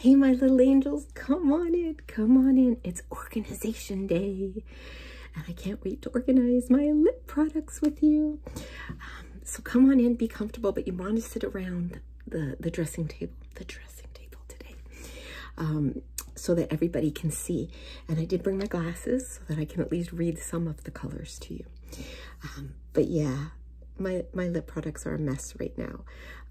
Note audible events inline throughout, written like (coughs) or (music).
Hey, my little angels, come on in, come on in. It's organization day, and I can't wait to organize my lip products with you. Um, so come on in, be comfortable, but you want to sit around the, the dressing table, the dressing table today, um, so that everybody can see. And I did bring my glasses so that I can at least read some of the colors to you. Um, but yeah, my my lip products are a mess right now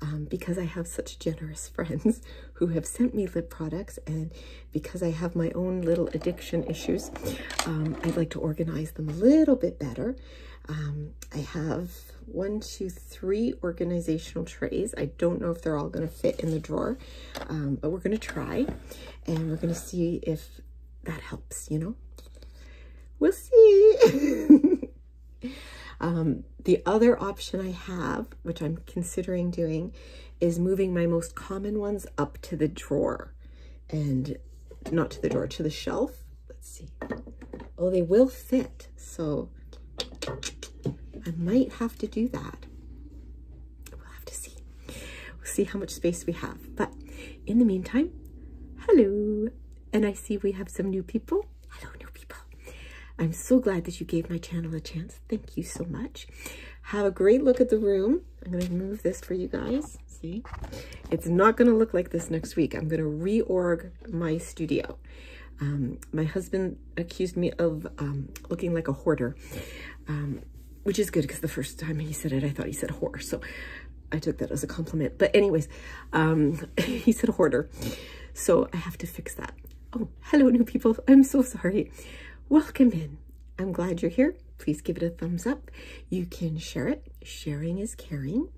um, because I have such generous (laughs) friends who have sent me lip products and because I have my own little addiction issues um, I'd like to organize them a little bit better um, I have one two three organizational trays I don't know if they're all going to fit in the drawer um, but we're going to try and we're going to see if that helps you know we'll see (laughs) Um, the other option I have, which I'm considering doing, is moving my most common ones up to the drawer and not to the drawer, to the shelf. Let's see. Oh, they will fit. So I might have to do that. We'll have to see. We'll see how much space we have. But in the meantime, hello. And I see we have some new people hello new people. I'm so glad that you gave my channel a chance. Thank you so much. Have a great look at the room. I'm going to move this for you guys. See? It's not going to look like this next week. I'm going to reorg my studio. Um, my husband accused me of um, looking like a hoarder, um, which is good because the first time he said it, I thought he said whore. So I took that as a compliment. But anyways, old. (coughs) he said hoarder. So I have to fix that. Oh, hello, new people. I'm so sorry. Welcome in. I'm glad you're here. Please give it a thumbs up. You can share it. Sharing is caring.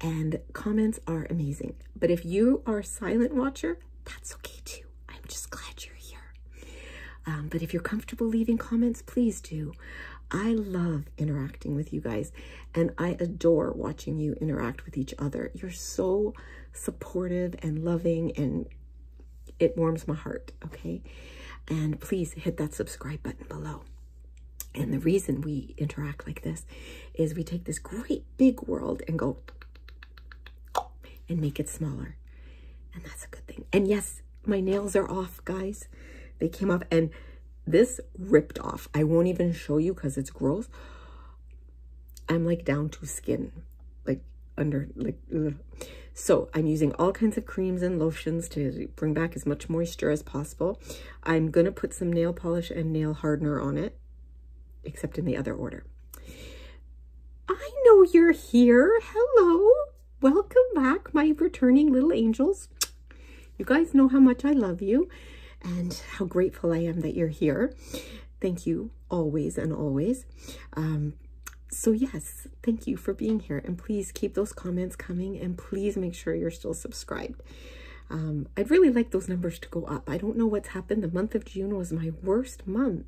And comments are amazing. But if you are silent watcher, that's okay too. I'm just glad you're here. Um, but if you're comfortable leaving comments, please do. I love interacting with you guys. And I adore watching you interact with each other. You're so supportive and loving and it warms my heart, okay? And please hit that subscribe button below. And the reason we interact like this is we take this great big world and go and make it smaller. And that's a good thing. And yes, my nails are off, guys. They came off and this ripped off. I won't even show you because it's gross. I'm like down to skin, like under, like, So I'm using all kinds of creams and lotions to bring back as much moisture as possible. I'm going to put some nail polish and nail hardener on it, except in the other order. I know you're here. Hello. Welcome back, my returning little angels. You guys know how much I love you and how grateful I am that you're here. Thank you always and always. Um, so yes, thank you for being here. And please keep those comments coming and please make sure you're still subscribed. Um, I'd really like those numbers to go up. I don't know what's happened. The month of June was my worst month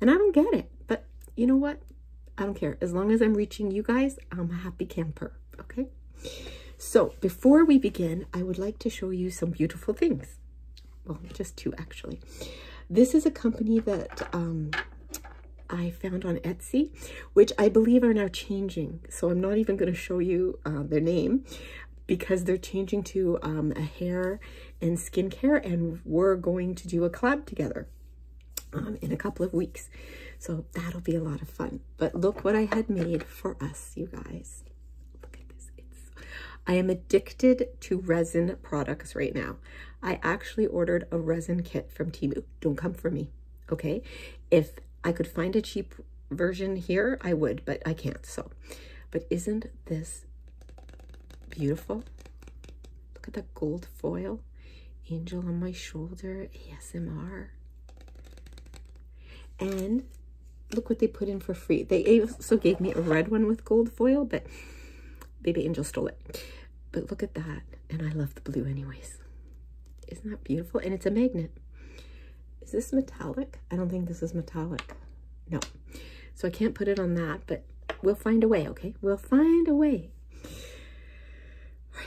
and I don't get it. But you know what? I don't care. As long as I'm reaching you guys, I'm a happy camper okay? So before we begin, I would like to show you some beautiful things. Well, just two actually. This is a company that um, I found on Etsy, which I believe are now changing. So I'm not even going to show you uh, their name because they're changing to um, a hair and skincare and we're going to do a collab together um, in a couple of weeks. So that'll be a lot of fun. But look what I had made for us, you guys. Look at this. I am addicted to resin products right now. I actually ordered a resin kit from Timu. Don't come for me, okay? If I could find a cheap version here, I would, but I can't, so. But isn't this beautiful? Look at that gold foil. Angel on my shoulder, ASMR. And look what they put in for free. They also gave me a red one with gold foil, but Baby Angel stole it. But look at that. And I love the blue anyways. Isn't that beautiful? And it's a magnet. Is this metallic? I don't think this is metallic. No. So I can't put it on that, but we'll find a way, okay? We'll find a way.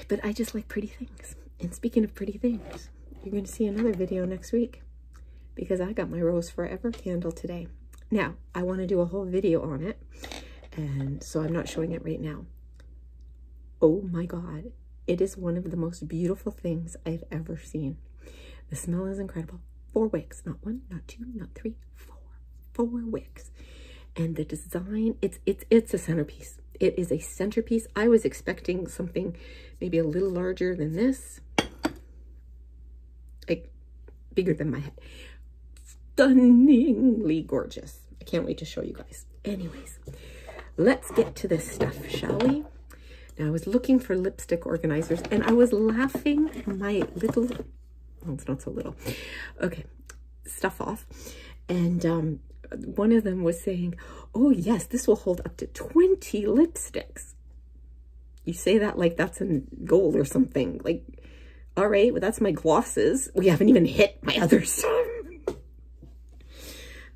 but I just like pretty things. And speaking of pretty things, you're going to see another video next week because I got my Rose Forever candle today. Now, I want to do a whole video on it, and so I'm not showing it right now. Oh my God, it is one of the most beautiful things I've ever seen. The smell is incredible. Four wicks, not one, not two, not three, four, four wicks. And the design, it's, it's, it's a centerpiece. It is a centerpiece. I was expecting something maybe a little larger than this, like bigger than my head. Stunningly gorgeous. I can't wait to show you guys. Anyways, let's get to this stuff, shall we? Now, I was looking for lipstick organizers, and I was laughing my little, well, it's not so little, okay, stuff off. And um, one of them was saying, oh yes, this will hold up to 20 lipsticks. You say that like that's in gold or something. Like, all right, well, that's my glosses. We haven't even hit my others. (laughs)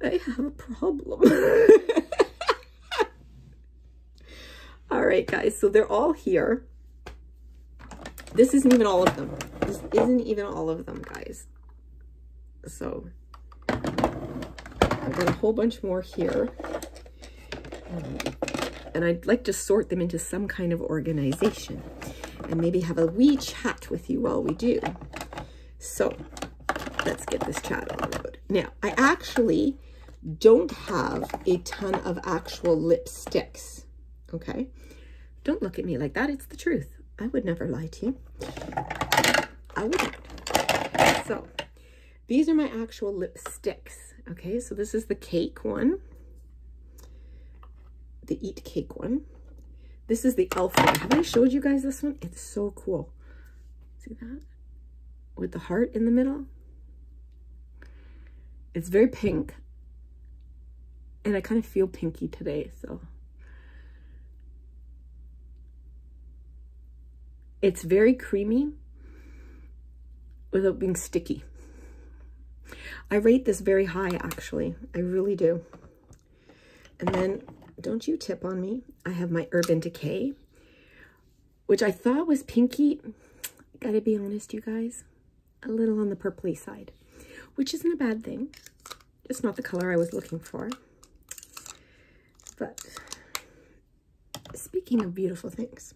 I have a problem. (laughs) all right, guys, so they're all here. This isn't even all of them. This isn't even all of them, guys. So I've got a whole bunch more here. and I'd like to sort them into some kind of organization and maybe have a wee chat with you while we do. So let's get this chat on the road. Now, I actually don't have a ton of actual lipsticks, okay? Don't look at me like that. It's the truth. I would never lie to you. I wouldn't. So these are my actual lipsticks. Okay, so this is the cake one, the eat cake one. This is the elf one. Have I showed you guys this one? It's so cool. See that? With the heart in the middle. It's very pink. And I kind of feel pinky today, so. It's very creamy without being sticky. I rate this very high, actually. I really do. And then, don't you tip on me. I have my Urban Decay, which I thought was pinky. Gotta be honest, you guys, a little on the purply side, which isn't a bad thing. It's not the color I was looking for. But speaking of beautiful things,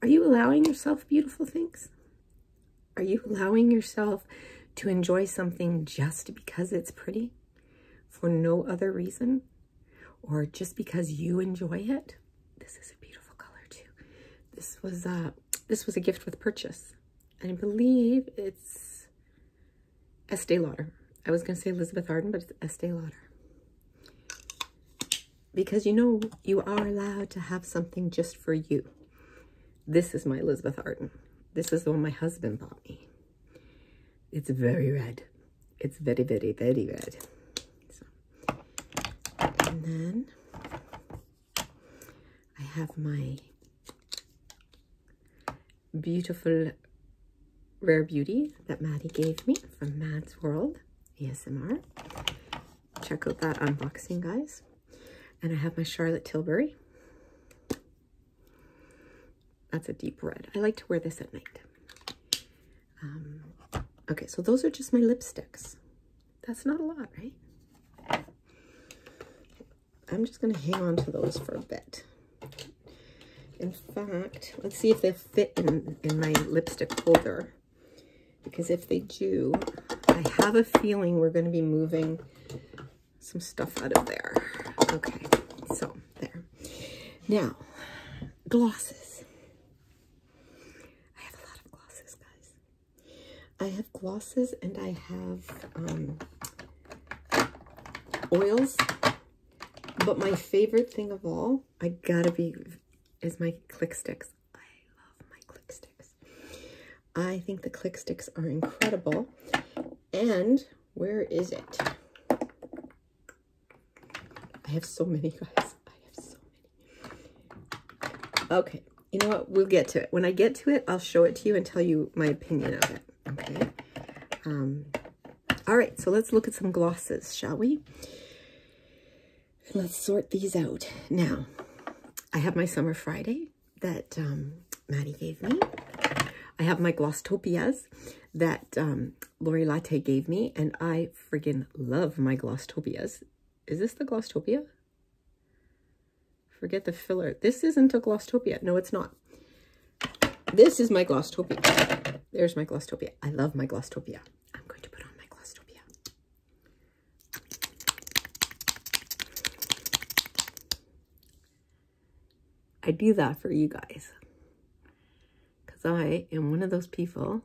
are you allowing yourself beautiful things? Are you allowing yourself to enjoy something just because it's pretty for no other reason or just because you enjoy it? This is a beautiful color too. This was a, this was a gift with purchase. I believe it's Estee Lauder. I was going to say Elizabeth Arden, but it's Estee Lauder. Because you know, you are allowed to have something just for you. This is my Elizabeth Arden. This is the one my husband bought me. It's very red. It's very, very, very red. and then I have my beautiful rare beauty that Maddie gave me from Mad's World ASMR. Check out that unboxing, guys. And I have my Charlotte Tilbury. That's a deep red. I like to wear this at night. Um, okay, so those are just my lipsticks. That's not a lot, right? I'm just going to hang on to those for a bit. In fact, let's see if they fit in, in my lipstick holder. Because if they do, I have a feeling we're going to be moving some stuff out of there. Okay, so there. Now, glosses. I have a lot of glosses, guys. I have glosses and I have um, oils but my favorite thing of all, I gotta be, is my click sticks. I love my click sticks. I think the click sticks are incredible. And where is it? I have so many, (laughs) guys. I have so many. Okay, you know what? We'll get to it. When I get to it, I'll show it to you and tell you my opinion of it, okay? Um, all right, so let's look at some glosses, shall we? Let's sort these out. Now, I have my Summer Friday that um, Maddie gave me. I have my Glosstopias that um, Lori Latte gave me, and I friggin' love my Glosstopias. Is this the Glosstopia? Forget the filler. This isn't a Glosstopia. No, it's not. This is my Glosstopia. There's my Glosstopia. I love my Glosstopia. I'm going to put on my Glosstopia. I do that for you guys. Because I am one of those people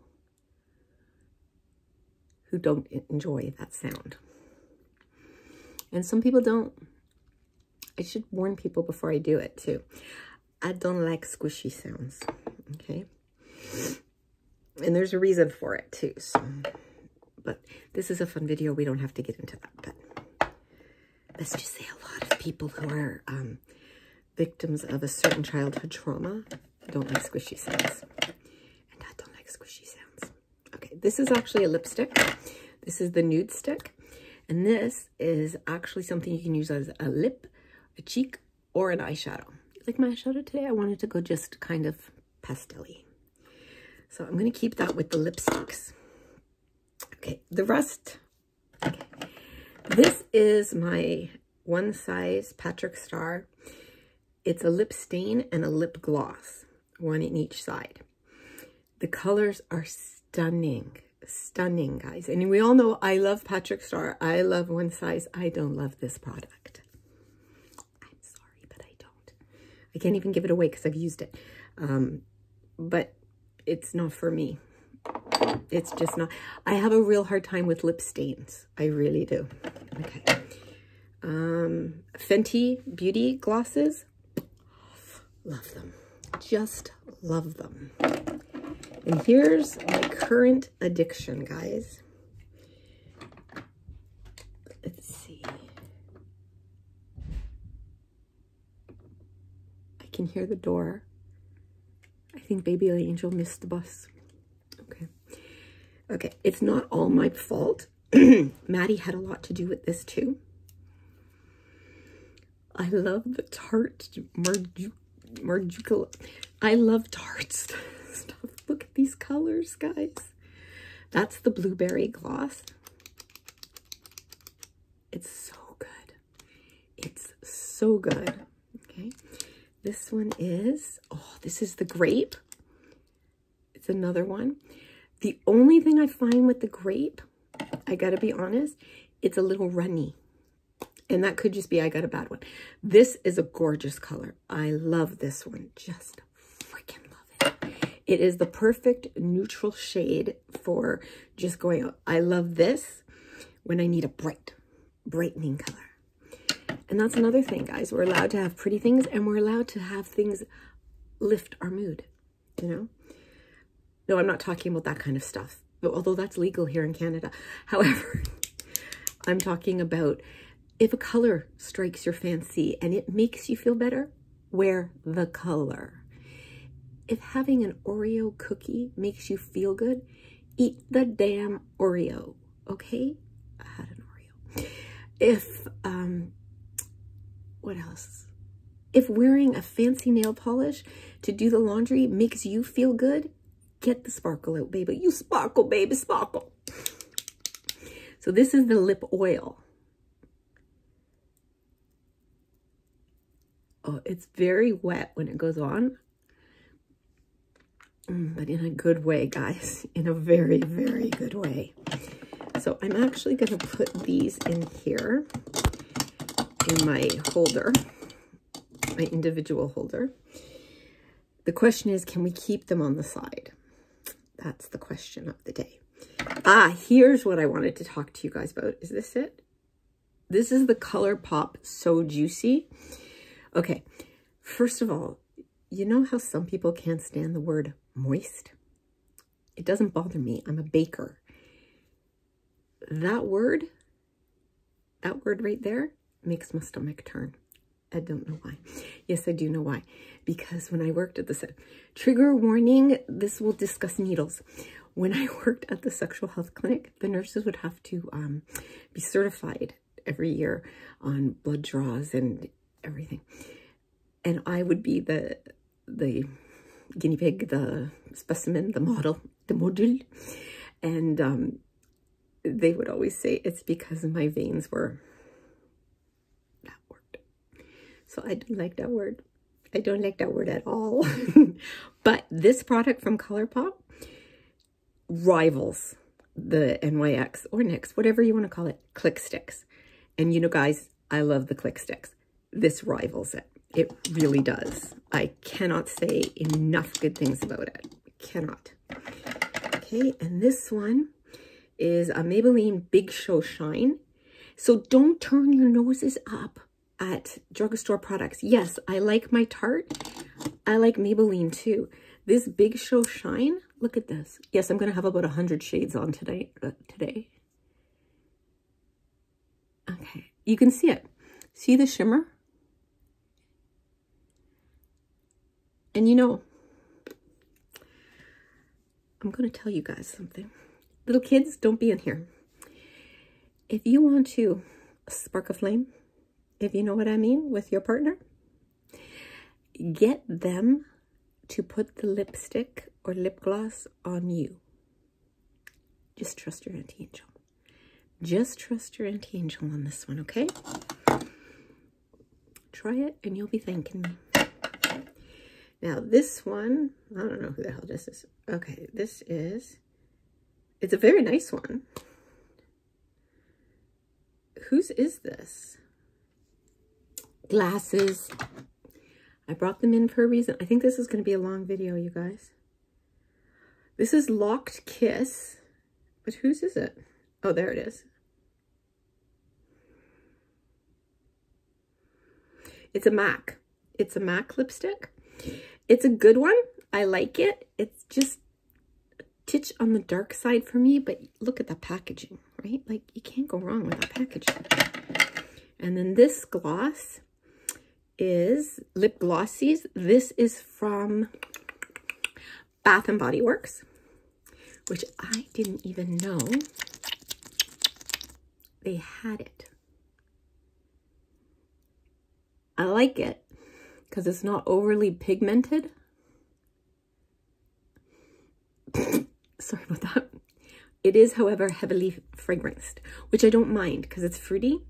who don't enjoy that sound. And some people don't. I should warn people before I do it too. I don't like squishy sounds, okay? And there's a reason for it too, so. But this is a fun video. We don't have to get into that, but let's just say a lot of people who are um, victims of a certain childhood trauma don't like squishy sounds. And I don't like squishy sounds. Okay, this is actually a lipstick. This is the nude stick. And this is actually something you can use as a lip, a cheek, or an eyeshadow. Like my eyeshadow today, I wanted to go just kind of pastelly. So I'm going to keep that with the lipsticks. Okay, the rest. Okay. This is my One Size Patrick Star. It's a lip stain and a lip gloss, one in each side. The colors are stunning, stunning, guys. And we all know I love Patrick Star. I love one size. I don't love this product. I'm sorry, but I don't. I can't even give it away because I've used it. Um, but it's not for me. It's just not. I have a real hard time with lip stains. I really do. Okay. Um, Fenty Beauty Glosses. Love them. Just love them. And here's my current addiction, guys. Let's see. I can hear the door. I think Baby Angel missed the bus. Okay. Okay, it's not all my fault. (clears throat) Maddie had a lot to do with this too. I love the tart marju marjucala. I love tarts (laughs) stuff. Look at these colors, guys. That's the blueberry gloss. It's so good. It's so good. Okay. This one is, oh, this is the grape. It's another one. The only thing I find with the grape I gotta be honest, it's a little runny. And that could just be I got a bad one. This is a gorgeous color. I love this one. Just freaking love it. It is the perfect neutral shade for just going out. I love this when I need a bright, brightening color. And that's another thing, guys. We're allowed to have pretty things and we're allowed to have things lift our mood you know? No, I'm not talking about that kind of stuff, although that's legal here in Canada. (laughs) However, (laughs) I'm talking about if a color strikes your fancy and it makes you feel better, wear the color. If having an Oreo cookie makes you feel good, eat the damn Oreo, okay? I had an Oreo. If, um, what else? If wearing a fancy nail polish to do the laundry makes you feel good, get the sparkle out, baby. You sparkle, baby, sparkle. So this is the lip oil. Oh, it's very wet when it goes on, mm, but in a good way, guys, (laughs) in a very, very good way. So I'm actually going to put these in here in my holder, my individual holder. The question is, can we keep them on the side? That's the question of the day. Ah, here's what I wanted to talk to you guys about. Is this it? This is the ColourPop So Juicy. Okay, first of all, you know how some people can't stand the word moist? It doesn't bother me. I'm a baker that word, that word right there makes my stomach turn. I don't know why. Yes, I do know why. Because when I worked at the trigger warning, this will discuss needles. When I (laughs) worked at the sexual health clinic, the nurses would have to um, be certified every year on blood draws and everything. And I would be the the guinea pig, the specimen, the model, the module. And um, they would always say it's because my veins were that word. So I don't like that word. I don't like that word at all. (laughs) but this product from ColourPop rivals the NYX or Nix, whatever you want to call it, click sticks. And you know, guys, I love the click sticks this rivals it. It really does. I cannot say enough good things about it. Cannot. Okay, and this one is a Maybelline Big Show Shine. So don't turn your noses up at drugstore products. Yes, I like my Tarte. I like Maybelline too. This Big Show Shine, look at this. Yes, I'm going to have about 100 shades on today. Uh, today. Okay, you can see it. See the shimmer? And you know, I'm going to tell you guys something. Little kids, don't be in here. If you want to spark a flame, if you know what I mean, with your partner, get them to put the lipstick or lip gloss on you. Just trust your Auntie Angel. Just trust your Auntie Angel on this one, okay? Try it and you'll be thanking me. Now this one, I don't know who the hell this is. Okay, this is, it's a very nice one. Whose is this? Glasses. I brought them in for a reason. I think this is going to be a long video, you guys. This is Locked Kiss, but whose is it? Oh, there it is. It's a MAC. It's a MAC lipstick. It's a good one. I like it. It's just titch on the dark side for me, but look at the packaging, right? Like, you can't go wrong with the packaging. And then this gloss is lip glosses. This is from Bath and Body Works, which I didn't even know they had it. I like it because it's not overly pigmented. (laughs) Sorry about that. It is, however, heavily fragranced, which I don't mind because it's fruity,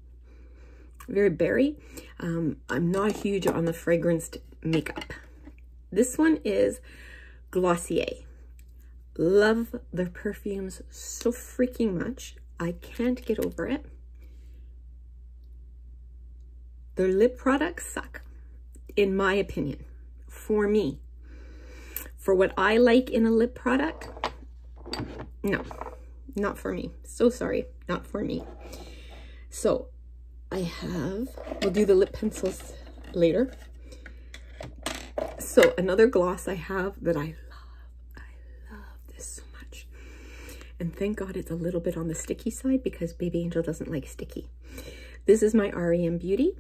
very berry. Um, I'm not huge on the fragranced makeup. This one is Glossier. Love their perfumes so freaking much. I can't get over it. Their lip products suck, in my opinion, for me. For what I like in a lip product, no, not for me. So sorry, not for me. So I have, we'll do the lip pencils later. So another gloss I have that I love, I love this so much. And thank God it's a little bit on the sticky side because Baby Angel doesn't like sticky. This is my REM Beauty.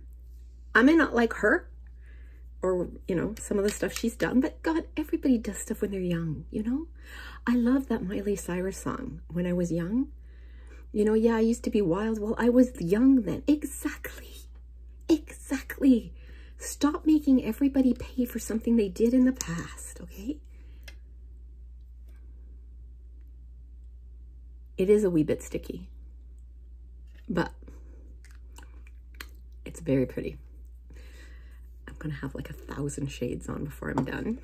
I may not like her, or you know some of the stuff she's done but god everybody does stuff when they're young you know i love that miley cyrus song when i was young you know yeah i used to be wild well i was young then exactly exactly stop making everybody pay for something they did in the past okay it is a wee bit sticky but it's very pretty I'm gonna have like a thousand shades on before I'm done.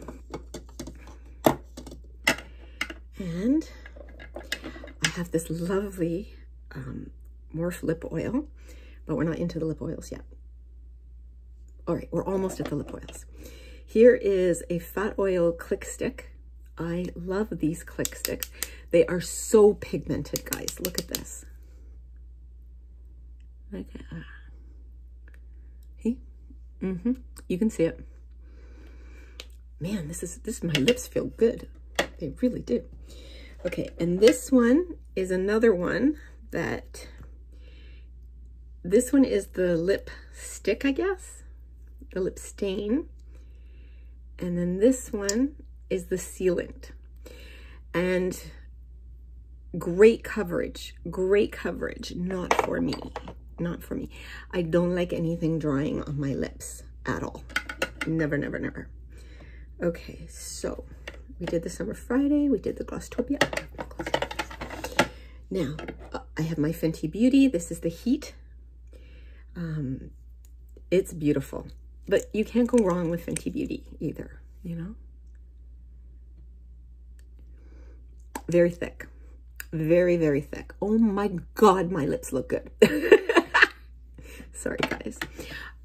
And I have this lovely um, Morph lip oil, but we're not into the lip oils yet. All right, we're almost at the lip oils. Here is a fat oil click stick. I love these click sticks. They are so pigmented, guys. Look at this. Okay. uh, Mm-hmm. You can see it. Man, this is, this, my lips feel good. They really do. Okay, and this one is another one that, this one is the lip stick, I guess, the lip stain. And then this one is the sealant. And great coverage, great coverage, not for me, not for me. I don't like anything drying on my lips at all. Never, never, never. Okay, so we did the Summer Friday, we did the Glosstopia. Now, uh, I have my Fenty Beauty. This is the Heat. Um, it's beautiful. But you can't go wrong with Fenty Beauty either, you know? Very thick. Very, very thick. Oh my God, my lips look good. (laughs) Sorry, guys.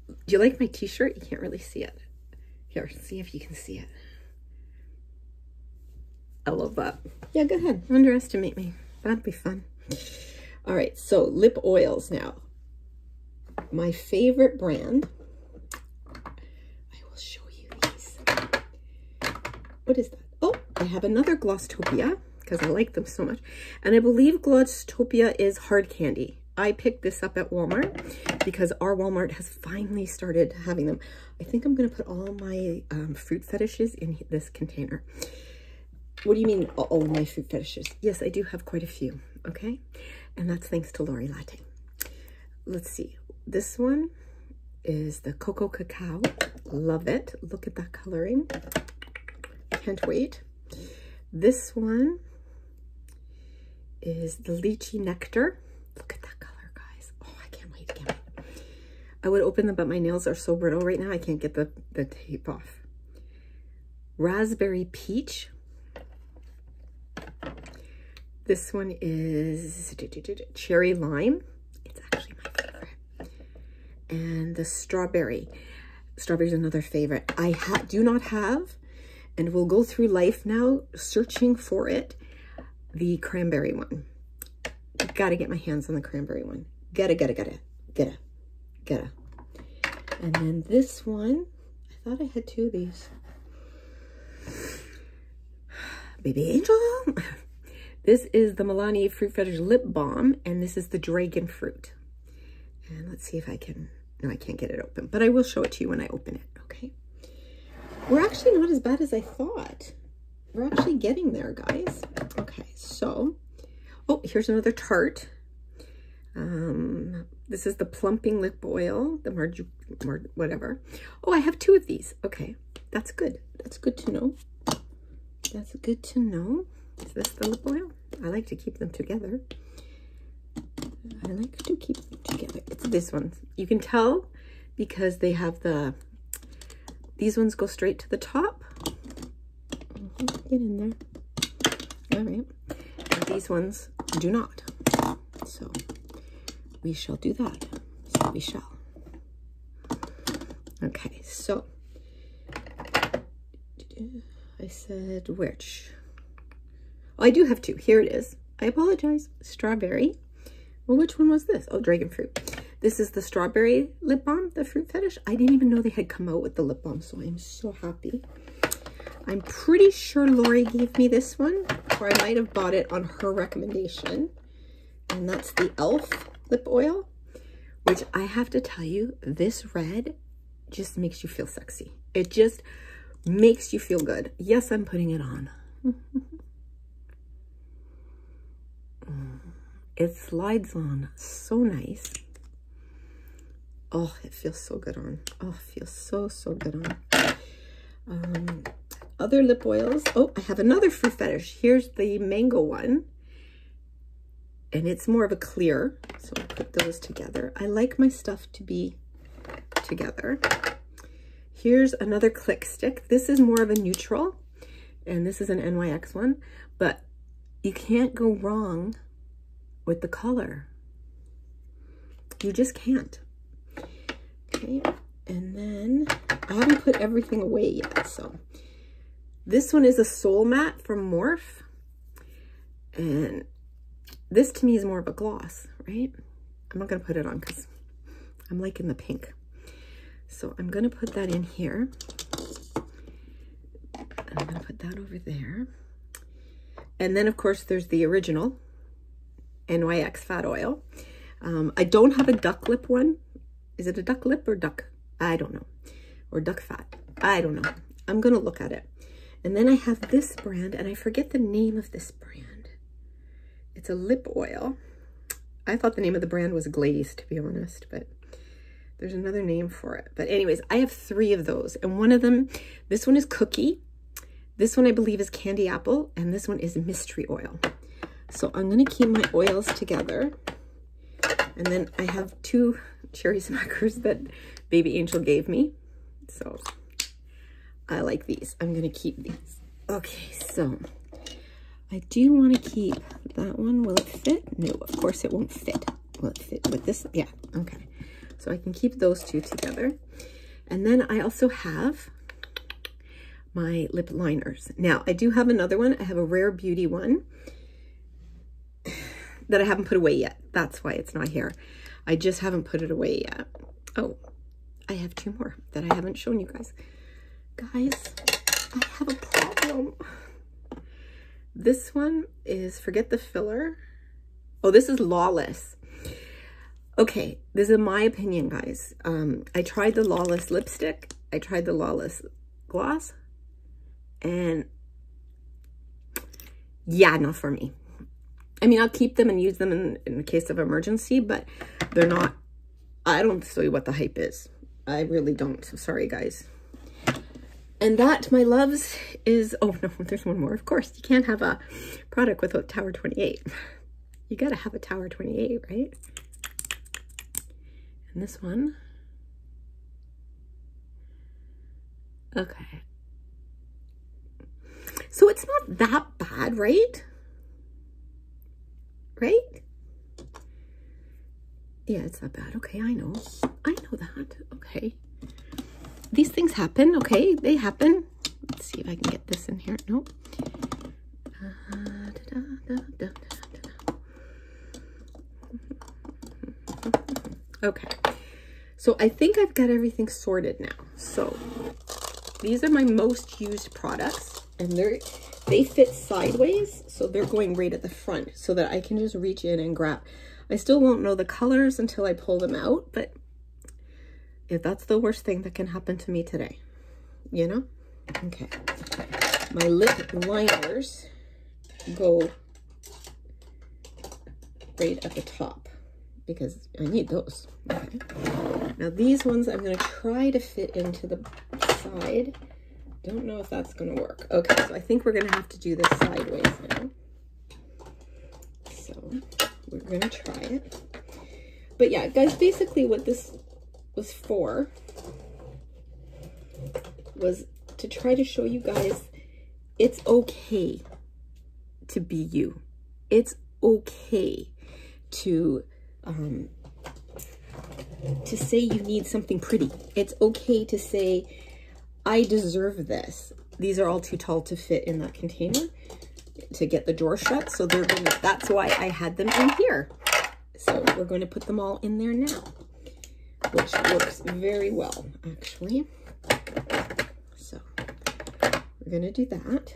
Do you like my t-shirt? You can't really see it. Here, see if you can see it. I love that. Yeah, go ahead. Underestimate me. That'd be fun. All right, so lip oils now my favorite brand. I will show you these. What is that? Oh, I have another Glosstopia because I like them so much. And I believe Glosstopia is hard candy. I picked this up at Walmart because our Walmart has finally started having them. I think I'm going to put all my um, fruit fetishes in this container. What do you mean all my fruit fetishes? Yes, I do have quite a few okay? And that's thanks to Lori Latte. Let's see. This one is the Cocoa Cacao. Love it. Look at that coloring. Can't wait. This one is the Lychee Nectar. Look at that color, guys. Oh, I Can't wait. I would open them, but my nails are so brittle right now, I can't get the, the tape off. Raspberry Peach. This one is cherry lime. It's actually my favorite. And the strawberry. Strawberry is another favorite. I do not have, and we'll go through life now searching for it, the cranberry one. Gotta get my hands on the cranberry one. Gotta, gotta, gotta, gotta, gotta. And then this one I thought I had two of these. Baby Angel. this is the Milani Fruit Fetters Lip Balm, and this is the Dragon Fruit. And let's see if I can, no, I can't get it open, but I will show it to you when I open it, okay? We're actually not as bad as I thought. We're actually getting there, guys. Okay, so, oh, here's another tart. Um, this is the plumping lip oil, the marg, whatever. Oh, I have two of these. Okay, that's good. That's good to know. That's good to know. Is this the lip oil? I like to keep them together. I like to keep them together. It's this one. You can tell because they have the, these ones go straight to the top. Get in there. All right these ones do not. So we shall do that. So we shall. Okay, so I said which. Oh, I do have two. Here it is. I apologize. Strawberry. Well, which one was this? Oh, dragon fruit. This is the strawberry lip balm, the fruit fetish. I didn't even know they had come out with the lip balm, so I'm so happy. I'm pretty sure Lori gave me this one, or I might have bought it on her recommendation. And that's the e.l.f. lip oil, which I have to tell you, this red just makes you feel sexy. It just makes you feel good. Yes, I'm putting it on. (laughs) Mm. it slides on so nice. Oh, it feels so good on. Oh, feels so, so good on. Um, other lip oils. Oh, I have another fruit fetish. Here's the mango one. And it's more of a clear. So I put those together. I like my stuff to be together. Here's another click stick. This is more of a neutral. And this is an NYX one. But you can't go wrong with the color. You just can't. Okay, and then I haven't put everything away yet, so. This one is a Soul Matte from Morph. And this to me is more of a gloss, right? I'm not gonna put it on because I'm liking the pink. So I'm gonna put that in here. I'm gonna put that over there. And then of course there's the original NYX fat oil. Um, I don't have a duck lip one. Is it a duck lip or duck? I don't know. Or duck fat. I don't know. I'm going to look at it. And then I have this brand, and I forget the name of this brand. It's a lip oil. I thought the name of the brand was Glazed, to be honest, but there's another name for it. But anyways, I have three of those. And one of them, this one is Cookie. This one I believe is candy apple and this one is mystery oil. So I'm gonna keep my oils together. And then I have two (laughs) cherry smackers that Baby Angel gave me. So I like these. I'm gonna keep these. Okay, so I do wanna keep that one. Will it fit? No, of course it won't fit will with this? Yeah, okay. So I can keep those two together. And then I also have my lip liners. Now, I do have another one. I have a Rare Beauty one that I haven't put away yet. That's why it's not here. I just haven't put it away yet. Oh, I have two more that I haven't shown you guys. Guys, I have a problem. This one is, forget the filler, Oh, this is Lawless. Okay, this is my opinion, guys. Um, I tried the Lawless lipstick. I tried the Lawless gloss. And yeah, not for me. I mean, I'll keep them and use them in, in case of emergency, but they're not, I don't see what the hype is. I really don't. sorry, guys. And that, my loves, is, oh no, (laughs) there's one more, of course. You can't have a product without Tower 28. You gotta have a Tower 28, right? And this one. Okay. So it's not that bad, right? Right? Yeah, it's not bad. Okay, I know. I know that. Okay. These things happen, okay? They happen. Let's see if I can get this in here. Nope. okay. So I think I've got everything sorted now. So these are my most used products and they're, they fit sideways. So they're going right at the front so that I can just reach in and grab. I still won't know the colors until I pull them out, but if that's the worst thing that can happen to me today, you know? Okay. My lip liners go right at the top because I need those. Now these ones I'm going to try to fit into the side. Don't know if that's going to work. Okay, so I think we're going to have to do this sideways now. So we're gonna try it. But yeah, guys, basically what this was for was to try to show you guys it's okay to be you. It's okay to um, to say you need something pretty. It's okay to say I deserve this. These are all too tall to fit in that container to get the door shut. So they're going to, that's why I had them in here. So we're going to put them all in there now, which works very well, actually. So we're going to do that.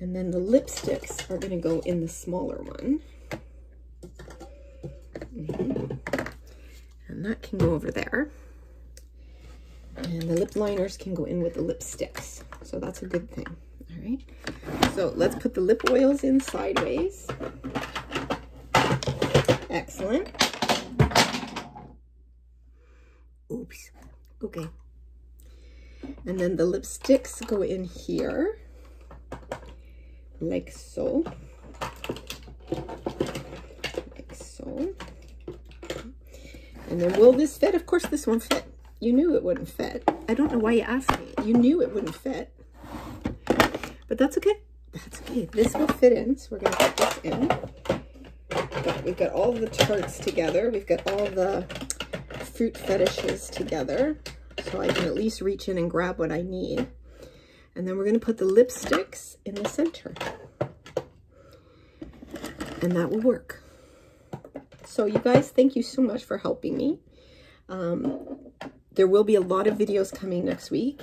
And then the lipsticks are going to go in the smaller one. Mm-hmm. And that can go over there. And the lip liners can go in with the lipsticks. So that's a good thing. All right. So let's put the lip oils in sideways. Excellent. Oops. Okay. And then the lipsticks go in here, like so. Like so. And then will this fit? Of course this won't fit. You knew it wouldn't fit. I don't know why you asked me. You knew it wouldn't fit. But that's okay. That's okay. This will fit in. So we're going to put this in. We've got all the charts together. We've got all the fruit fetishes together. So I can at least reach in and grab what I need. And then we're going to put the lipsticks in the center and that will work. So you guys, thank you so much for helping me. Um, there will be a lot of videos coming next week.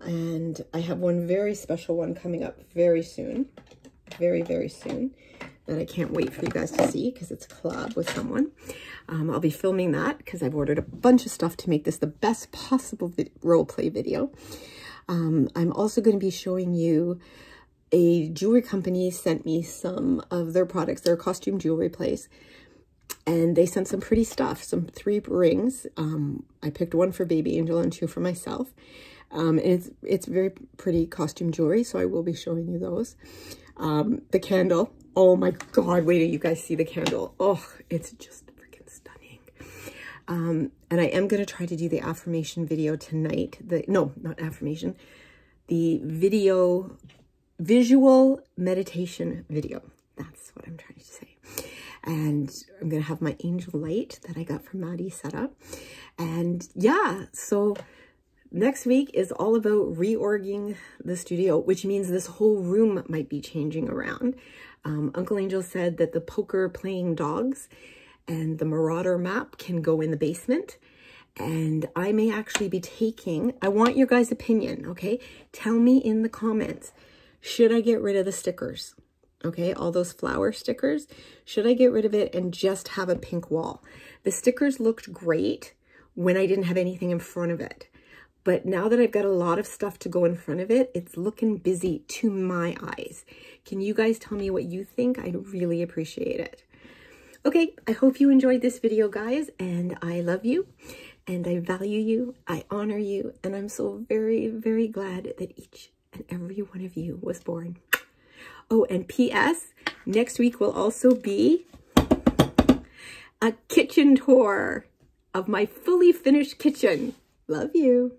And I have one very special one coming up very soon. Very, very soon. That I can't wait for you guys to see because it's a collab with someone. Um, I'll be filming that because I've ordered a bunch of stuff to make this the best possible role play video. Um, I'm also going to be showing you a jewelry company sent me some of their products. Their costume jewelry place. And they sent some pretty stuff, some three rings. Um, I picked one for Baby Angel and two for myself. Um, it's, it's very pretty costume jewelry, so I will be showing you those. Um, the candle. Oh my God, wait do you guys see the candle. Oh, it's just freaking stunning. Um, and I am going to try to do the affirmation video tonight. The No, not affirmation. The video, visual meditation video. That's what I'm trying to say. And I'm going to have my angel light that I got from Maddie set up. And yeah, so next week is all about reorganizing the studio, which means this whole room might be changing around. Um, Uncle Angel said that the poker playing dogs and the Marauder map can go in the basement. And I may actually be taking, I want your guys' opinion, okay? Tell me in the comments, should I get rid of the stickers? Okay, all those flower stickers, should I get rid of it and just have a pink wall? The stickers looked great when I didn't have anything in front of it. But now that I've got a lot of stuff to go in front of it, it's looking busy to my eyes. Can you guys tell me what you think? I'd really appreciate it. Okay, I hope you enjoyed this video, guys, and I love you, and I value you, I honor you, and I'm so very, very glad that each and every one of you was born. Oh, and P.S., next week will also be a kitchen tour of my fully finished kitchen. Love you.